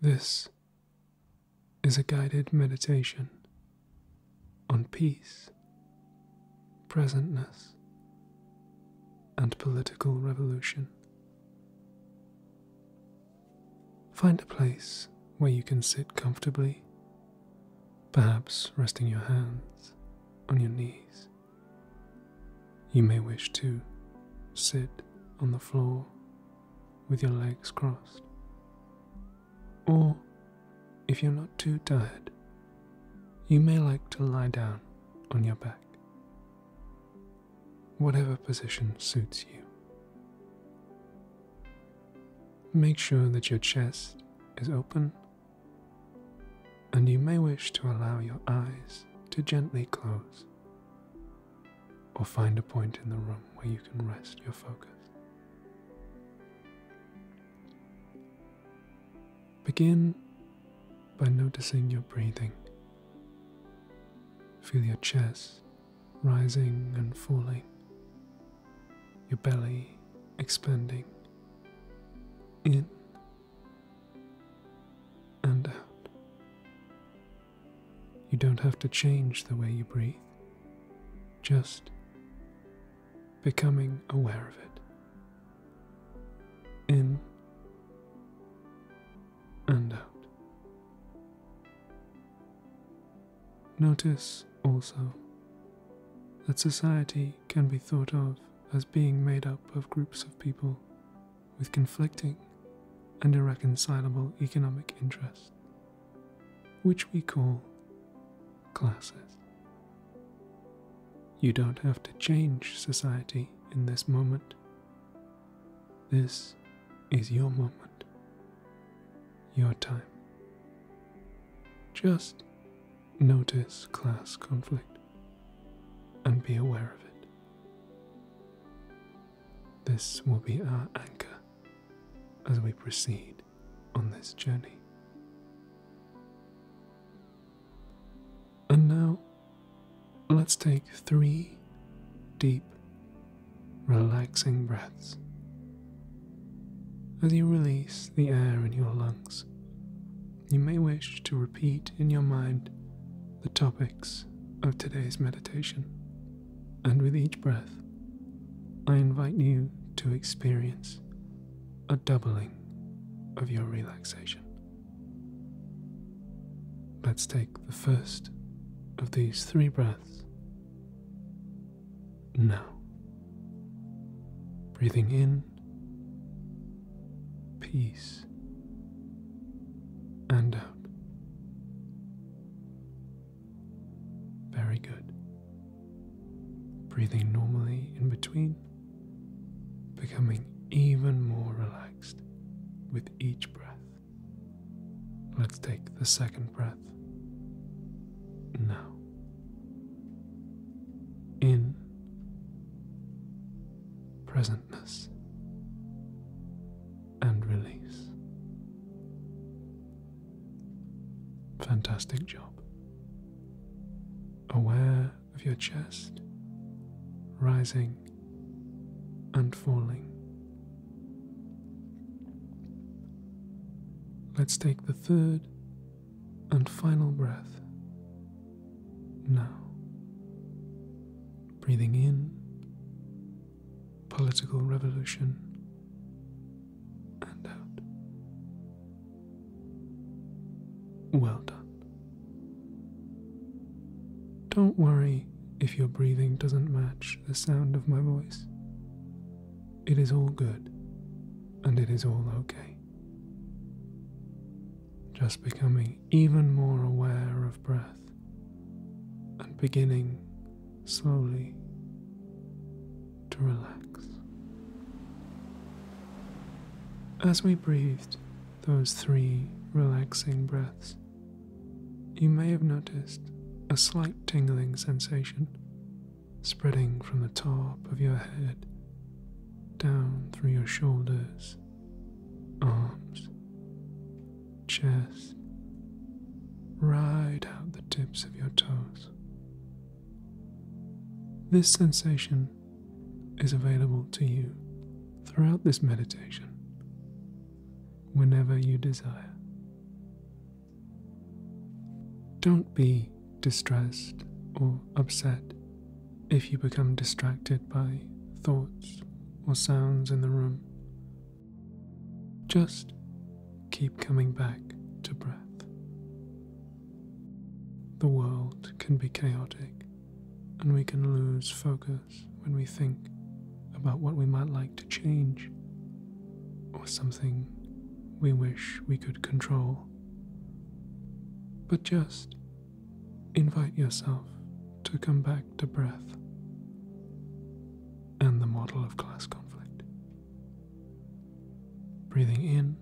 This is a guided meditation on peace, presentness, and political revolution. Find a place where you can sit comfortably, perhaps resting your hands on your knees. You may wish to sit on the floor with your legs crossed. Or, if you're not too tired, you may like to lie down on your back. Whatever position suits you. Make sure that your chest is open, and you may wish to allow your eyes to gently close, or find a point in the room where you can rest your focus. Begin by noticing your breathing. Feel your chest rising and falling, your belly expanding in and out. You don't have to change the way you breathe, just becoming aware of it. In and out. Notice also that society can be thought of as being made up of groups of people with conflicting and irreconcilable economic interests, which we call classes. You don't have to change society in this moment. This is your moment your time. Just notice class conflict and be aware of it. This will be our anchor as we proceed on this journey. And now, let's take three deep relaxing breaths as you release the air in your lungs. You may wish to repeat in your mind the topics of today's meditation, and with each breath, I invite you to experience a doubling of your relaxation. Let's take the first of these three breaths now, breathing in peace and out. Very good. Breathing normally in between, becoming even more relaxed with each breath. Let's take the second breath now. In presentness and release. Fantastic job. Aware of your chest rising and falling Let's take the third and final breath. Now, breathing in political revolution and out. Well done. Don't worry if your breathing doesn't match the sound of my voice. It is all good, and it is all okay. Just becoming even more aware of breath and beginning slowly to relax. As we breathed those three relaxing breaths, you may have noticed a slight tingling sensation spreading from the top of your head down through your shoulders, arms, chest, right out the tips of your toes. This sensation is available to you throughout this meditation whenever you desire. Don't be distressed or upset if you become distracted by thoughts or sounds in the room. Just keep coming back to breath. The world can be chaotic and we can lose focus when we think about what we might like to change or something we wish we could control. But just invite yourself to come back to breath and the model of class conflict. Breathing in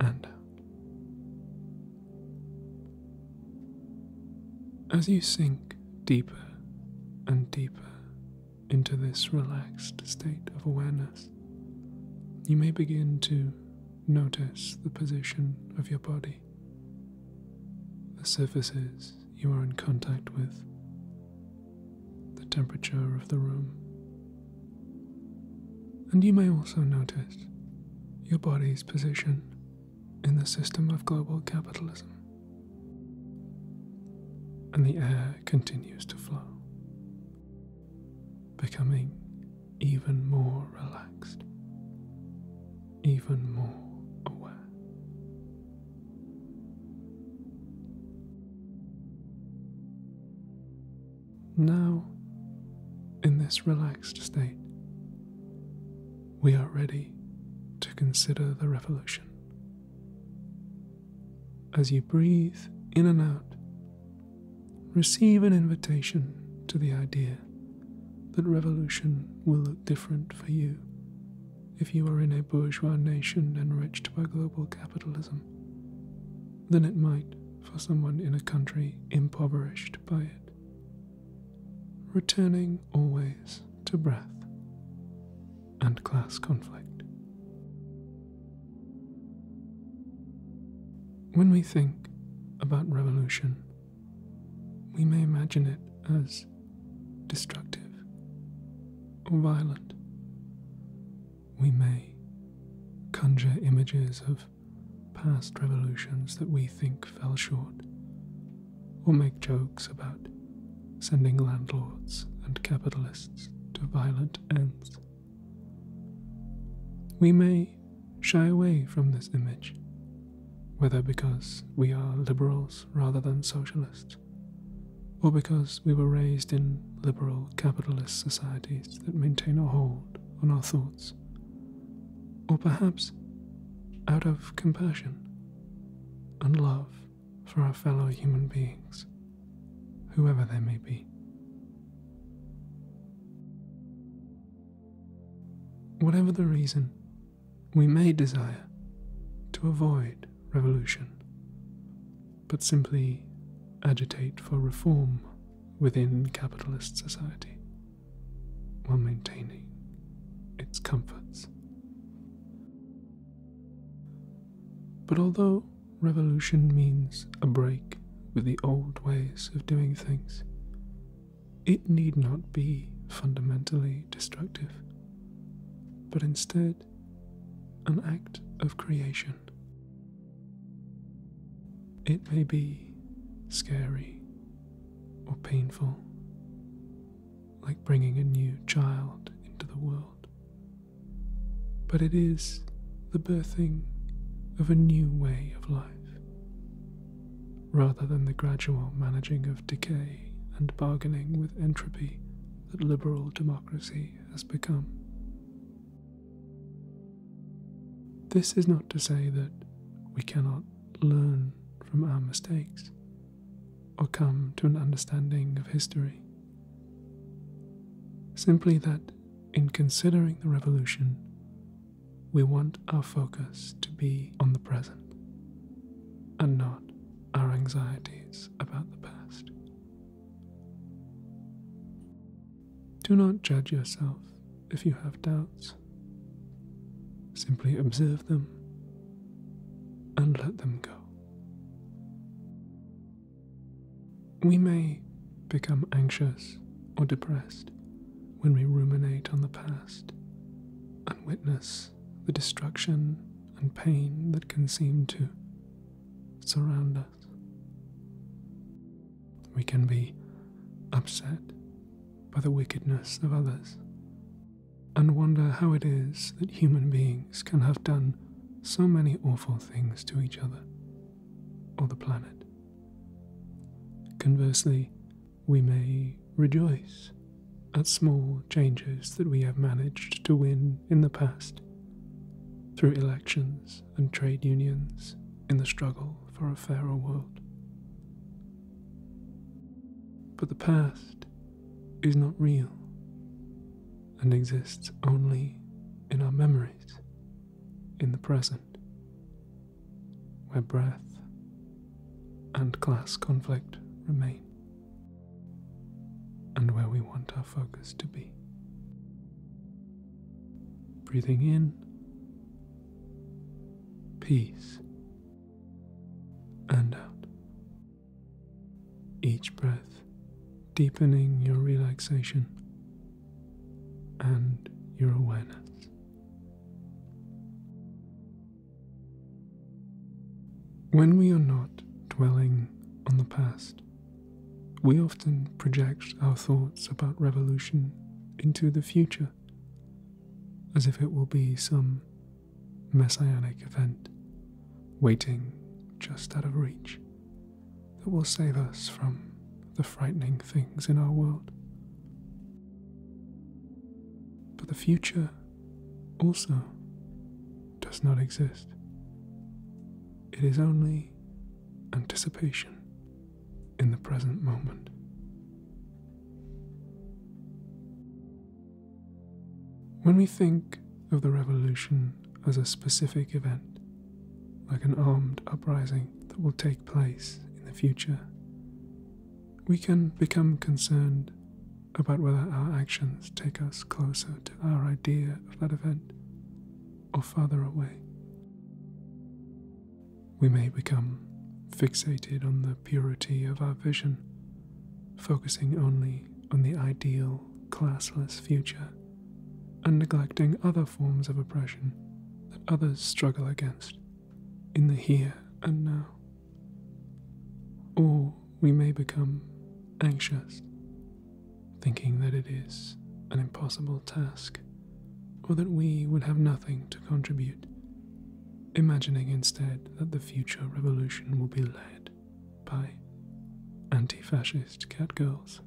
and out. As you sink deeper and deeper into this relaxed state of awareness, you may begin to notice the position of your body, the surfaces you are in contact with, the temperature of the room. And you may also notice your body's position in the system of global capitalism. And the air continues to flow, becoming even more relaxed, even more aware. Now, in this relaxed state, we are ready to consider the revolution. As you breathe in and out, receive an invitation to the idea that revolution will look different for you if you are in a bourgeois nation enriched by global capitalism than it might for someone in a country impoverished by it returning always to breath and class conflict. When we think about revolution, we may imagine it as destructive or violent. We may conjure images of past revolutions that we think fell short or make jokes about sending landlords and capitalists to violent ends. We may shy away from this image, whether because we are liberals rather than socialists, or because we were raised in liberal capitalist societies that maintain a hold on our thoughts. Or perhaps out of compassion and love for our fellow human beings, whoever they may be. Whatever the reason, we may desire to avoid revolution, but simply agitate for reform within capitalist society while maintaining its comforts. But although revolution means a break with the old ways of doing things, it need not be fundamentally destructive, but instead an act of creation. It may be scary or painful, like bringing a new child into the world. But it is the birthing of a new way of life, rather than the gradual managing of decay and bargaining with entropy that liberal democracy has become. This is not to say that we cannot learn from our mistakes or come to an understanding of history. Simply that in considering the revolution, we want our focus to be on the present and not our anxieties about the past. Do not judge yourself if you have doubts Simply observe them and let them go. We may become anxious or depressed when we ruminate on the past and witness the destruction and pain that can seem to surround us. We can be upset by the wickedness of others, and wonder how it is that human beings can have done so many awful things to each other or the planet. Conversely, we may rejoice at small changes that we have managed to win in the past through elections and trade unions in the struggle for a fairer world. But the past is not real and exists only in our memories, in the present, where breath and class conflict remain, and where we want our focus to be. Breathing in peace, and out. Each breath deepening your relaxation and your awareness. When we are not dwelling on the past, we often project our thoughts about revolution into the future as if it will be some messianic event waiting just out of reach that will save us from the frightening things in our world. But the future also does not exist. It is only anticipation in the present moment. When we think of the revolution as a specific event, like an armed uprising that will take place in the future, we can become concerned about whether our actions take us closer to our idea of that event or farther away. We may become fixated on the purity of our vision, focusing only on the ideal, classless future, and neglecting other forms of oppression that others struggle against in the here and now. Or we may become anxious, thinking that it is an impossible task or that we would have nothing to contribute, imagining instead that the future revolution will be led by anti fascist catgirls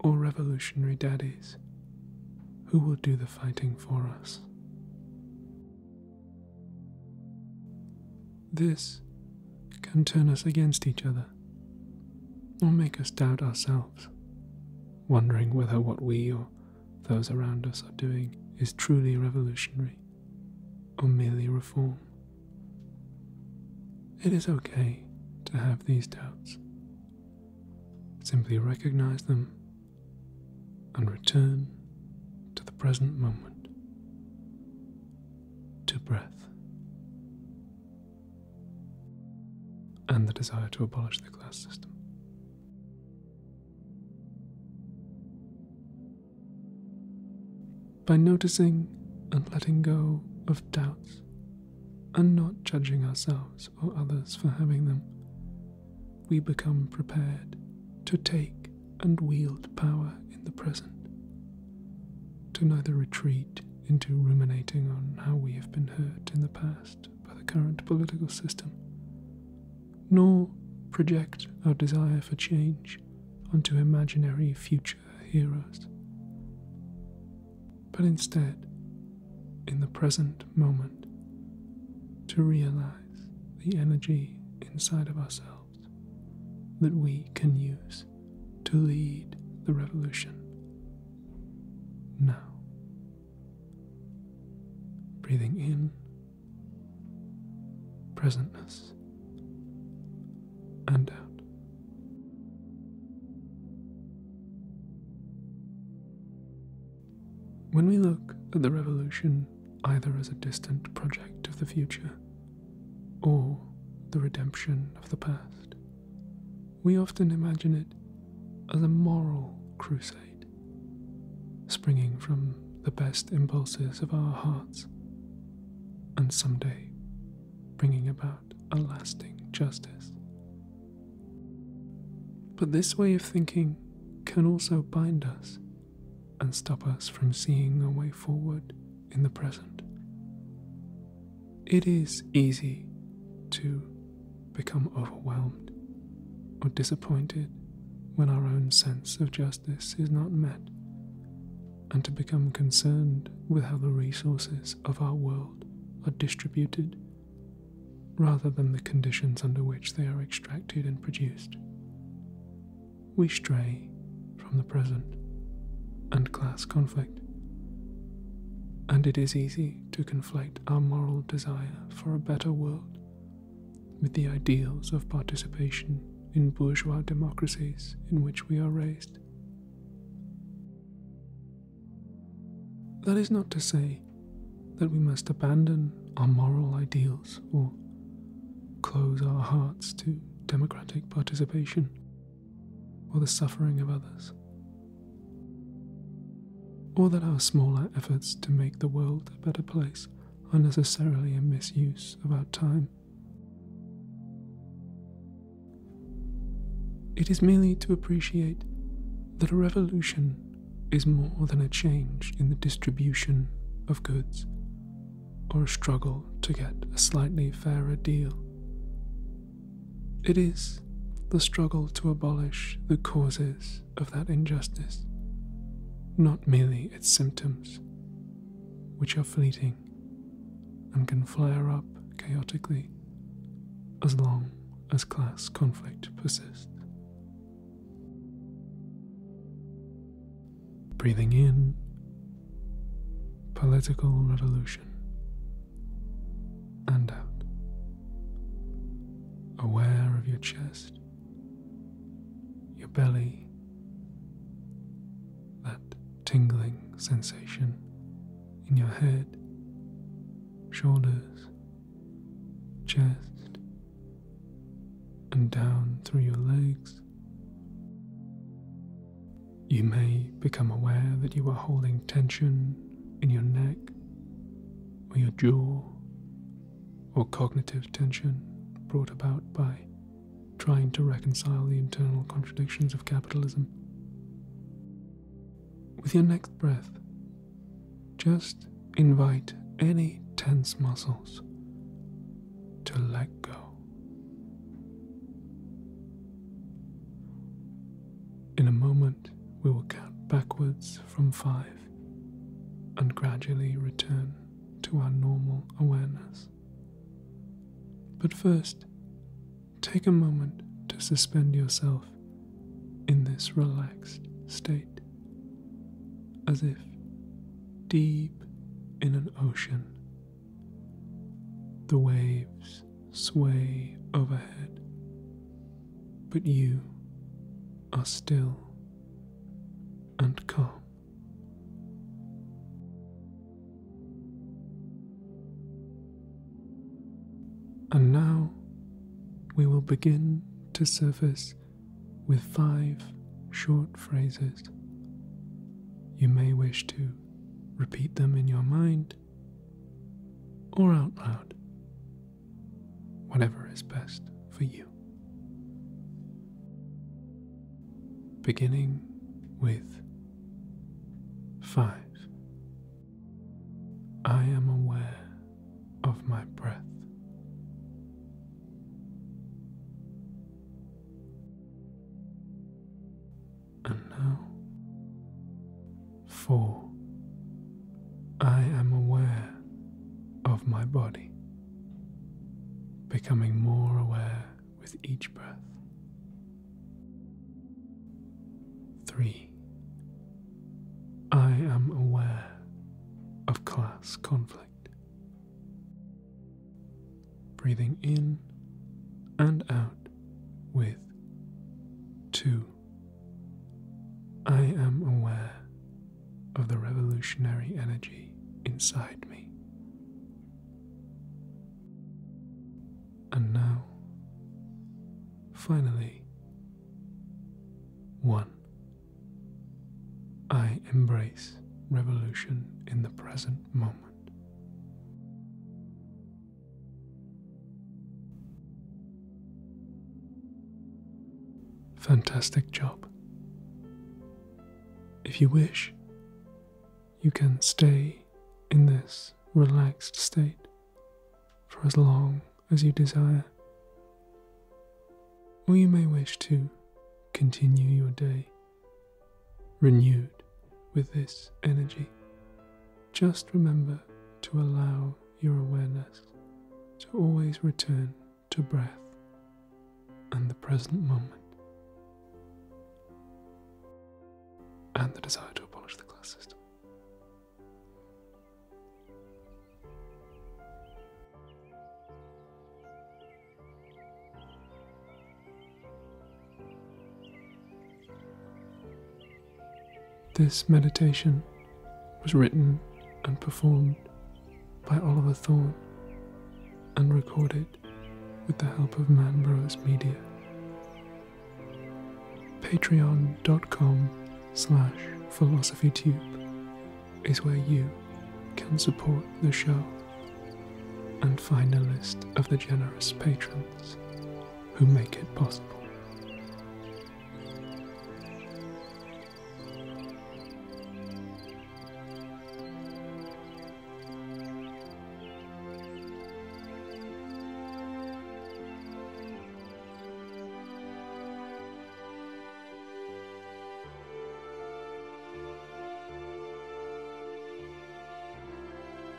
or revolutionary daddies who will do the fighting for us. This can turn us against each other or make us doubt ourselves, wondering whether what we or those around us are doing is truly revolutionary or merely reform. It is okay to have these doubts. Simply recognize them and return to the present moment, to breath, and the desire to abolish the class system. By noticing and letting go of doubts and not judging ourselves or others for having them, we become prepared to take and wield power in the present, to neither retreat into ruminating on how we have been hurt in the past by the current political system, nor project our desire for change onto imaginary future heroes. But instead, in the present moment, to realize the energy inside of ourselves that we can use to lead the revolution now. Breathing in presentness and out. When we look at the revolution either as a distant project of the future or the redemption of the past, we often imagine it as a moral crusade, springing from the best impulses of our hearts, and someday bringing about a lasting justice. But this way of thinking can also bind us and stop us from seeing a way forward in the present. It is easy to become overwhelmed or disappointed when our own sense of justice is not met, and to become concerned with how the resources of our world are distributed rather than the conditions under which they are extracted and produced. We stray from the present and class conflict, and it is easy to conflate our moral desire for a better world with the ideals of participation in bourgeois democracies in which we are raised. That is not to say that we must abandon our moral ideals or close our hearts to democratic participation or the suffering of others. Or that our smaller efforts to make the world a better place are necessarily a misuse of our time. It is merely to appreciate that a revolution is more than a change in the distribution of goods or a struggle to get a slightly fairer deal. It is the struggle to abolish the causes of that injustice, not merely its symptoms, which are fleeting and can flare up chaotically as long as class conflict persists. Breathing in, political revolution and out. Aware of your chest, your belly, that tingling sensation in your head, shoulders, chest, and down through your legs. You may become aware that you are holding tension in your neck or your jaw, or cognitive tension brought about by trying to reconcile the internal contradictions of capitalism. With your next breath, just invite any tense muscles to let go. In a moment, we will count backwards from five and gradually return to our normal awareness. But first, take a moment to suspend yourself in this relaxed state, as if deep in an ocean. The waves sway overhead, but you are still and calm. And now we will begin to surface with five short phrases. You may wish to repeat them in your mind or out loud, whatever is best for you. Beginning with five, I am aware of my breath and now. For I am aware of my body, becoming more aware with each breath. Three. I am aware of class conflict. Breathing in and out with two I am aware of the revolutionary energy inside me. And now, finally, one. I embrace revolution in the present moment. Fantastic job. If you wish, you can stay in this relaxed state for as long as you desire, or you may wish to continue your day renewed with this energy just remember to allow your awareness to always return to breath and the present moment. And the desire to abolish the class system. This meditation was written and performed by Oliver Thorne and recorded with the help of Manbros Media. Patreon.com slash PhilosophyTube is where you can support the show and find a list of the generous patrons who make it possible.